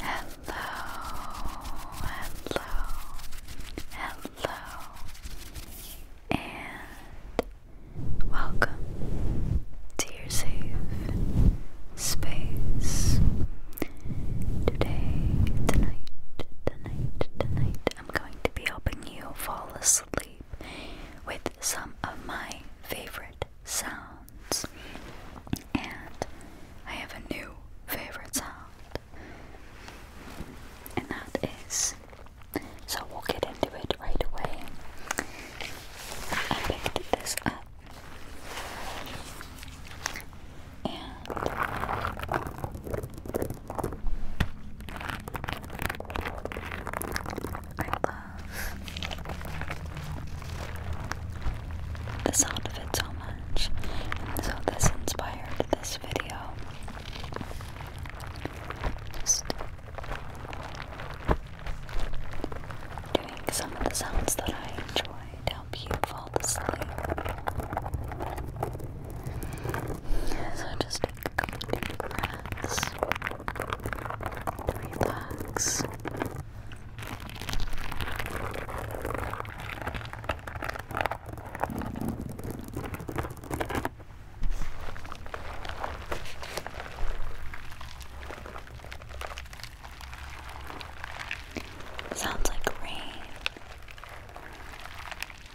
Hello, hello, hello, and welcome to your safe space. Today, tonight, tonight, tonight, I'm going to be helping you fall asleep with some of my favorite sounds. And I have a new favorite sound, and that is so we'll get into it right away. I picked this up. And I love the sound of it so much, so this inspired this video. Just doing some of the sounds that I enjoy to help you fall asleep. So just take a couple deep breaths relax. Sounds like rain.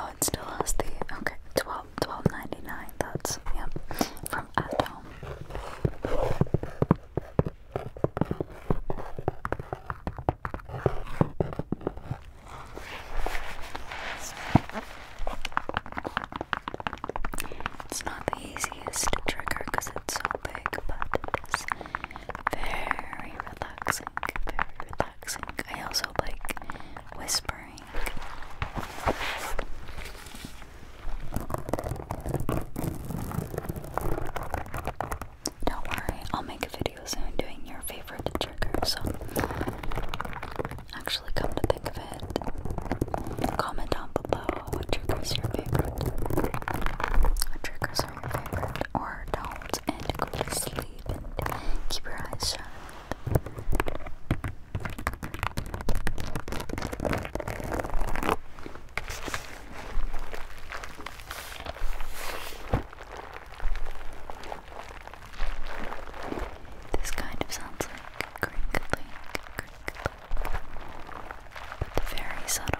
Oh, it still has the okay, twelve twelve ninety nine. That's yeah, from at home. It's not the easiest trigger because it's so big, but it is very relaxing relaxing, very relaxing. I also like whispering. Don't worry, I'll make a video soon doing your favorite trigger. So, actually, come to think of it, comment down below what triggers your favorite. What triggers or don't and go to sleep and keep your eyes shut. This kind of sounds like crinkling, crinkling, but very subtle.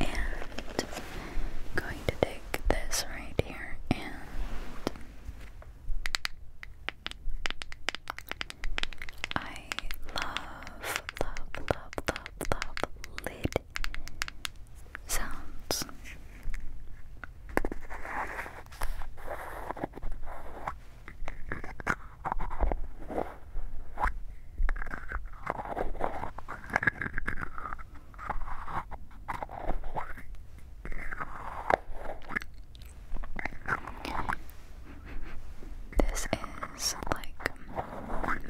and I'm going to take this right here and I love, love, love, love, love lid sounds. This is like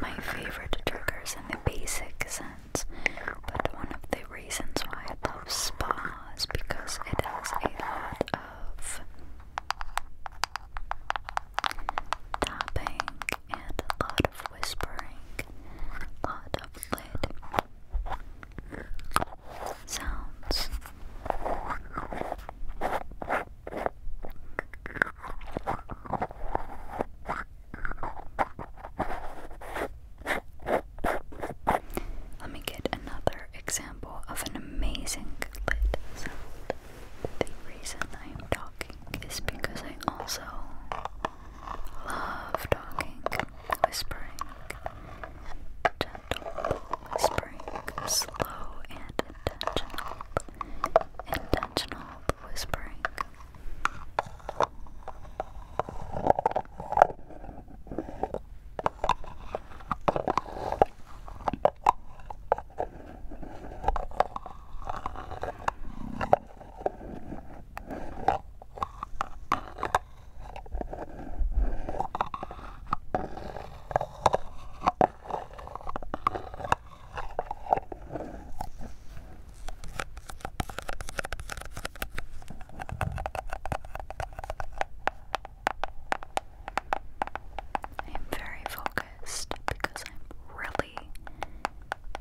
my favorite triggers in the basic sense, but one of the reasons why I love spas because it has a lot of tapping, and a lot of whispering, a lot of lid sounds. Let me get another example of an amazing lid sound the reason I'm talking is because I also love talking, whispering, gentle whispering, slow and intentional, intentional whispering. I am very focused because I'm really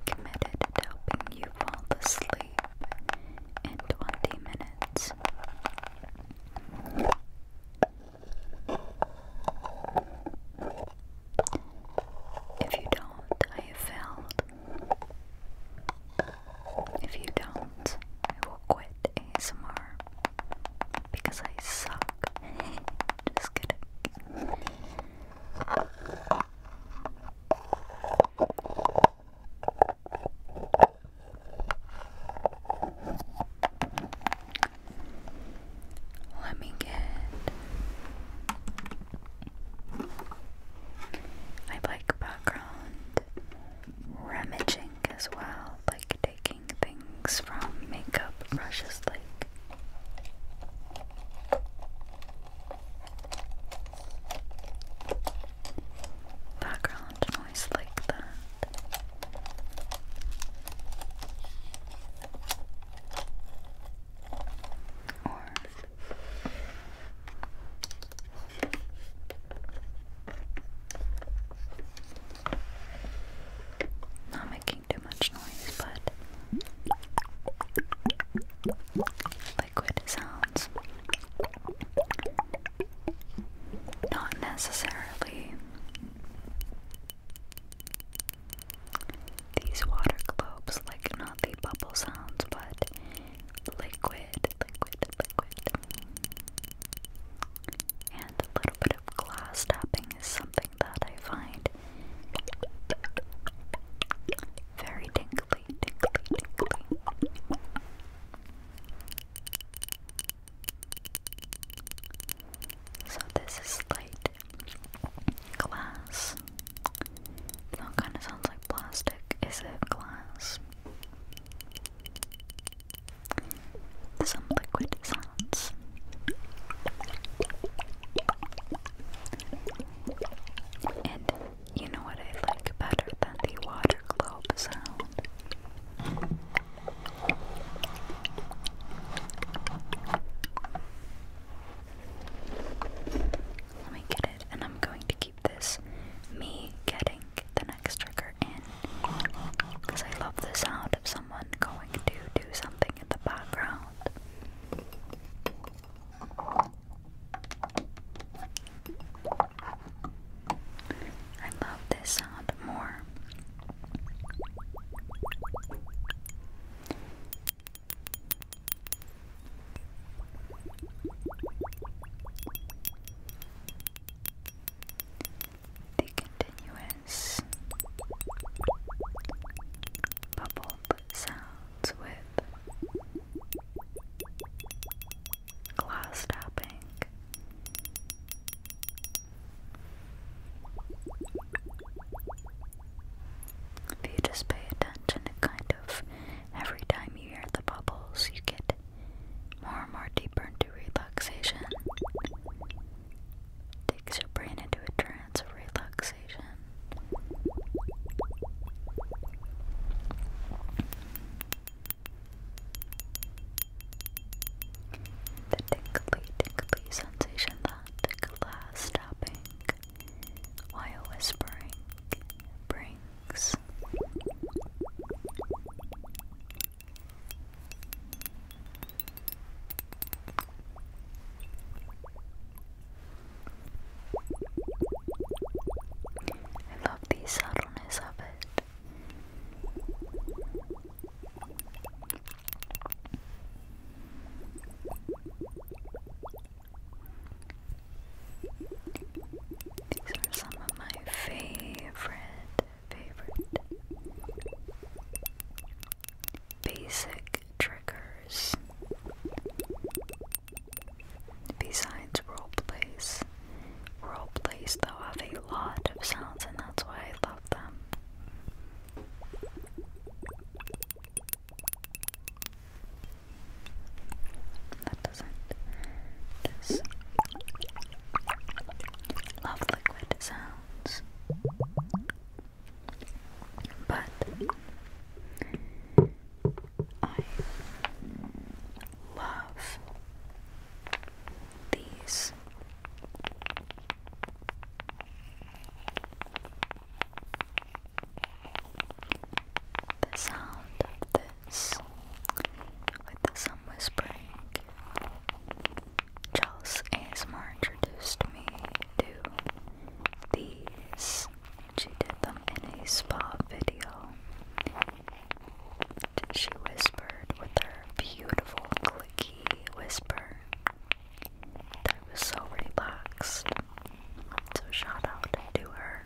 committed to helping you fall asleep in 20 minutes. If you don't, I failed. If you don't, I will quit ASMR because I suck. Let me get. I like background rummaging as well, like taking things from makeup brushes like background noise like that. Or not making too much noise, but liquid sounds. Not necessarily these water globes, like not the bubble sounds, but liquid, liquid, liquid. And a little bit of glass tapping is something that I find very tingly, tingly, tingly. So this is light glass. That kind of sounds like plastic. Is it glass? some liquid sounds. And you know what I like better than the water globe sound? Let me get it, and I'm going to keep this me getting the next trigger because I love the sound of someone going to do something in the background. I love this sound more the continuous bubbled sounds with glass tapping. If you just pay attention to kind of every time you hear the bubbles, you get more and more deeper into relaxation. Takes your brain into a trance of relaxation. The tingly, tingly sensation that glass tapping while whispering brings. I love the subtleness of it. These are some of my favorite favorite basic triggers besides role plays. Role plays though have a lot of sounds and that's why I love them. That doesn't Love liquid sounds. But I love these. The sound of the this with the sun whispering. Charles ASMR introduced me to these. She did them in a spa video. She whispered with her beautiful clicky whisper. That was so relaxed. So shout out to her.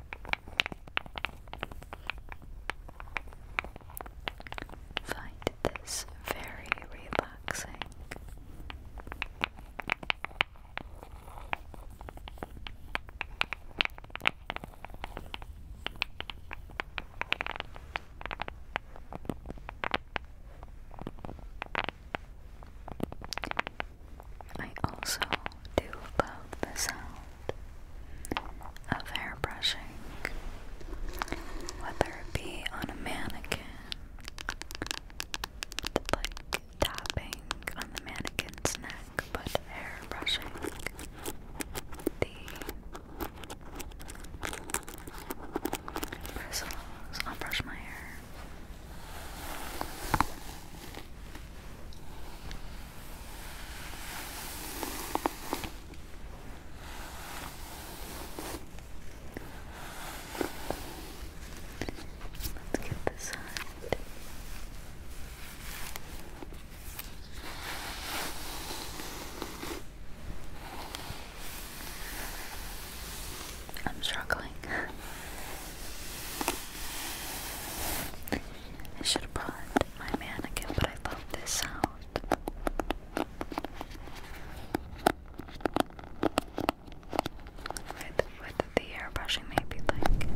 Find this very relaxing. I also do love the sound of hair brushing, whether it be on a mannequin, like tapping on the mannequin's neck, but hair brushing the bristles. I'll brush my hair. Let's get this side. I'm struggling. I should have brought my mannequin, but I love this sound. With, with the airbrushing, maybe like.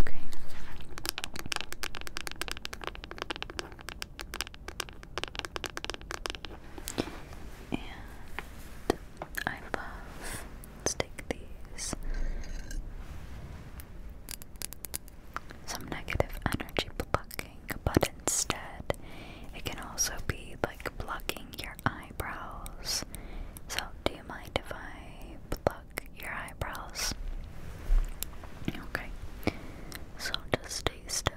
Okay. And I love, let these, some negative energy blocking, but instead it can also be like blocking your eyebrows. So, do you mind if I block your eyebrows? Okay. So just stay still.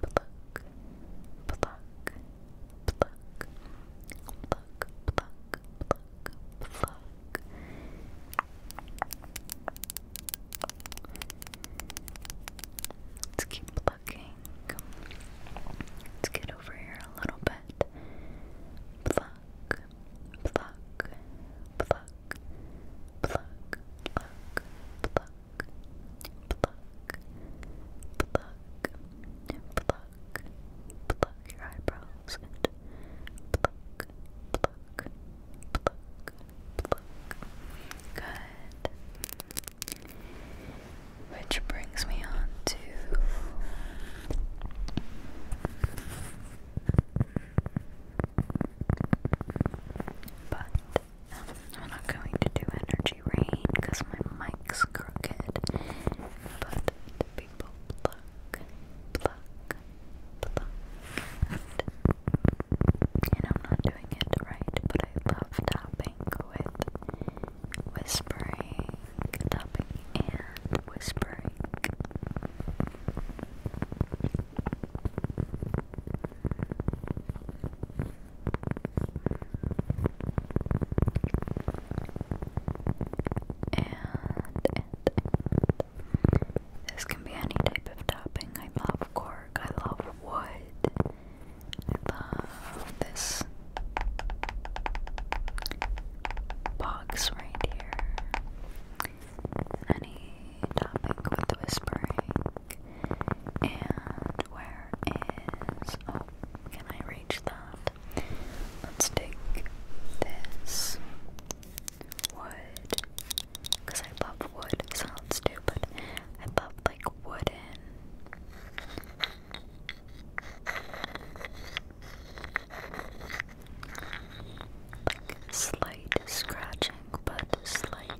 pluck, pluck, pluck, pluck, pluck, pluck, pluck. Let's keep plucking. Let's get over here a little bit. Pluck, pluck, pluck, pluck, pluck, pluck pluck, pluck, pluck, pluck your eyebrows and pluck, pluck, pluck, pluck. Good. Which brings me on to. But I'm not going to do energy rain because my mic's crooked. But people pluck, pluck, pluck. And I'm not doing it right, but I love tapping with whispering, tapping and whispering and, and, this can be any type of topping. I love cork, I love wood, I love this box right here. Any topic with whispering and where is oh can I reach that? Let's take this wood because I love wood. sounds stupid. I love like wooden slight scratching but slight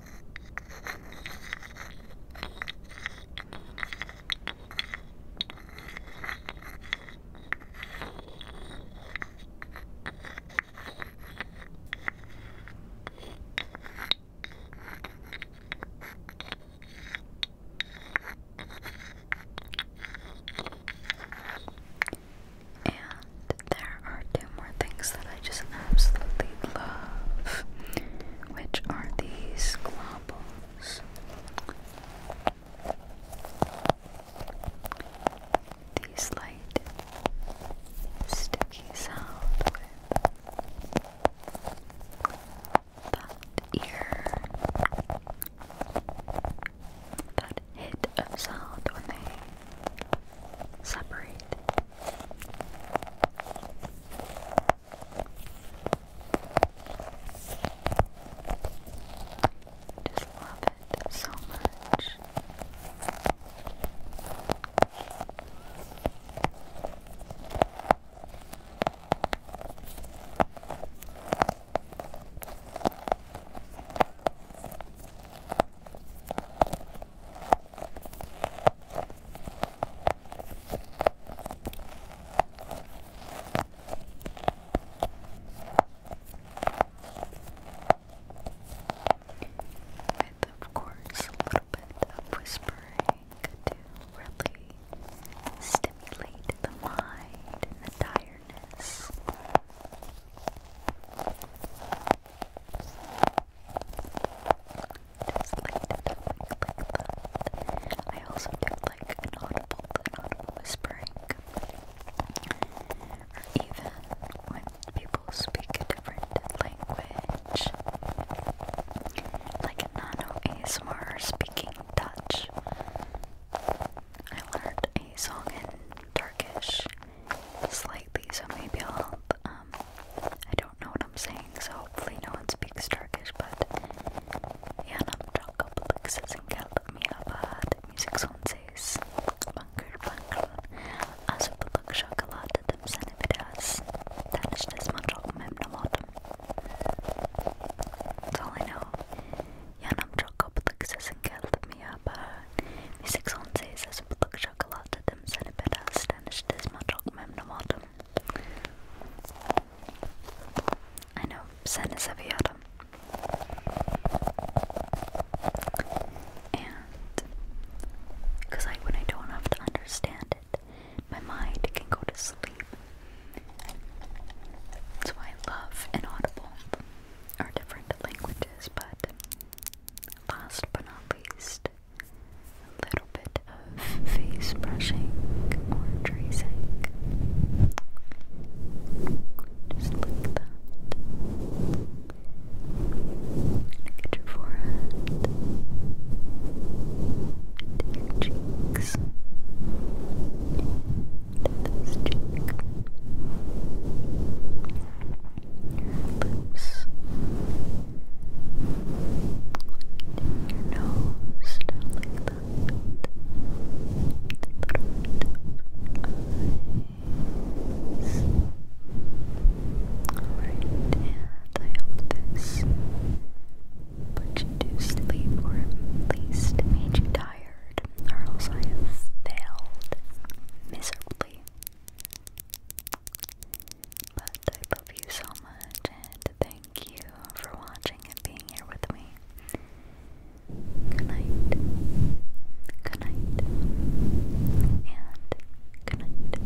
And there are two more things that I just absolutely love, which are these globbles. These light sticky sound that ear, that hit of sound when they separate. Just love it so much. With, of course, a little bit of whispering to really stimulate the mind and the tiredness like I also do like an whispering. Or even when people speak a different language. Like a nano ASMR speaking Dutch. I learned a song in Turkish slightly, so maybe I'll um, I don't know what I'm saying, so hopefully no one speaks Turkish, but yanım çok kapalık sesim gelmiyor but müzik son ses. Bangır bangır. Az öpülük şakalar dedim seni biraz. Tanıştığıma çok memnun oldum. That's all I know. Yanım çok kapalık sesim gelmiyor but müzik son ses. Az öpülük şakalar dedim I know, sen is heavy And, because like when I don't have to understand it, my mind can go to sleep. That's why I love inaudible or different languages, but last but not least, a little bit of face brushing or tracing. Just like that. Look your forehead. To your cheeks. To this cheek your lips, your nose like that, Alright, and I hope this put you to sleep or at least made you tired, or else I have failed miserably but I love you so much and thank you for watching and being here with me. Good night. Good night. And good night.